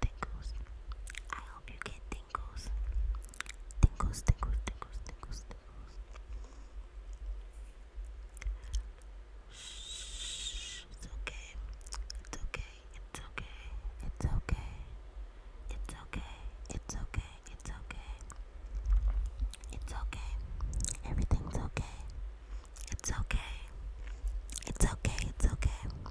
tingles. I hope you get tingles. Tingles, tingles, tingles, tingles, tingles. Shh, it's okay. It's okay. It's okay. It's okay. It's okay. It's okay. It's okay. It's okay. Everything's okay. It's okay. It's okay. It's okay.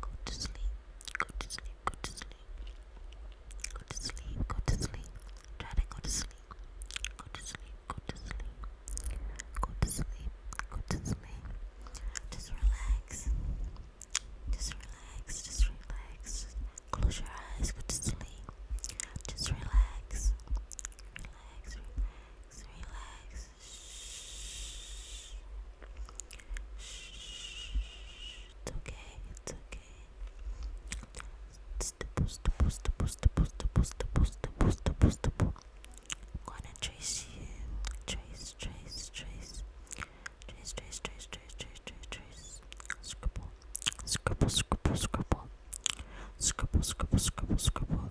Go to sleep. Go to sleep. Go to sleep. Go to sleep. Go to sleep. Try to go to sleep. Go to sleep. Go to sleep. Go to sleep. Go to sleep. Just relax. Just relax. Just relax. Close your eyes. Go to sleep. Just relax. Relax. Relax. Relax. Shh. Shh. It's okay. It's okay. I'm gonna chase you. Chase. Chase. Chase. Chase. Chase. trace, trace, trace, trace, trace. Scribble. Scribble, scribble, scribble. Scribble, scribble, scribble,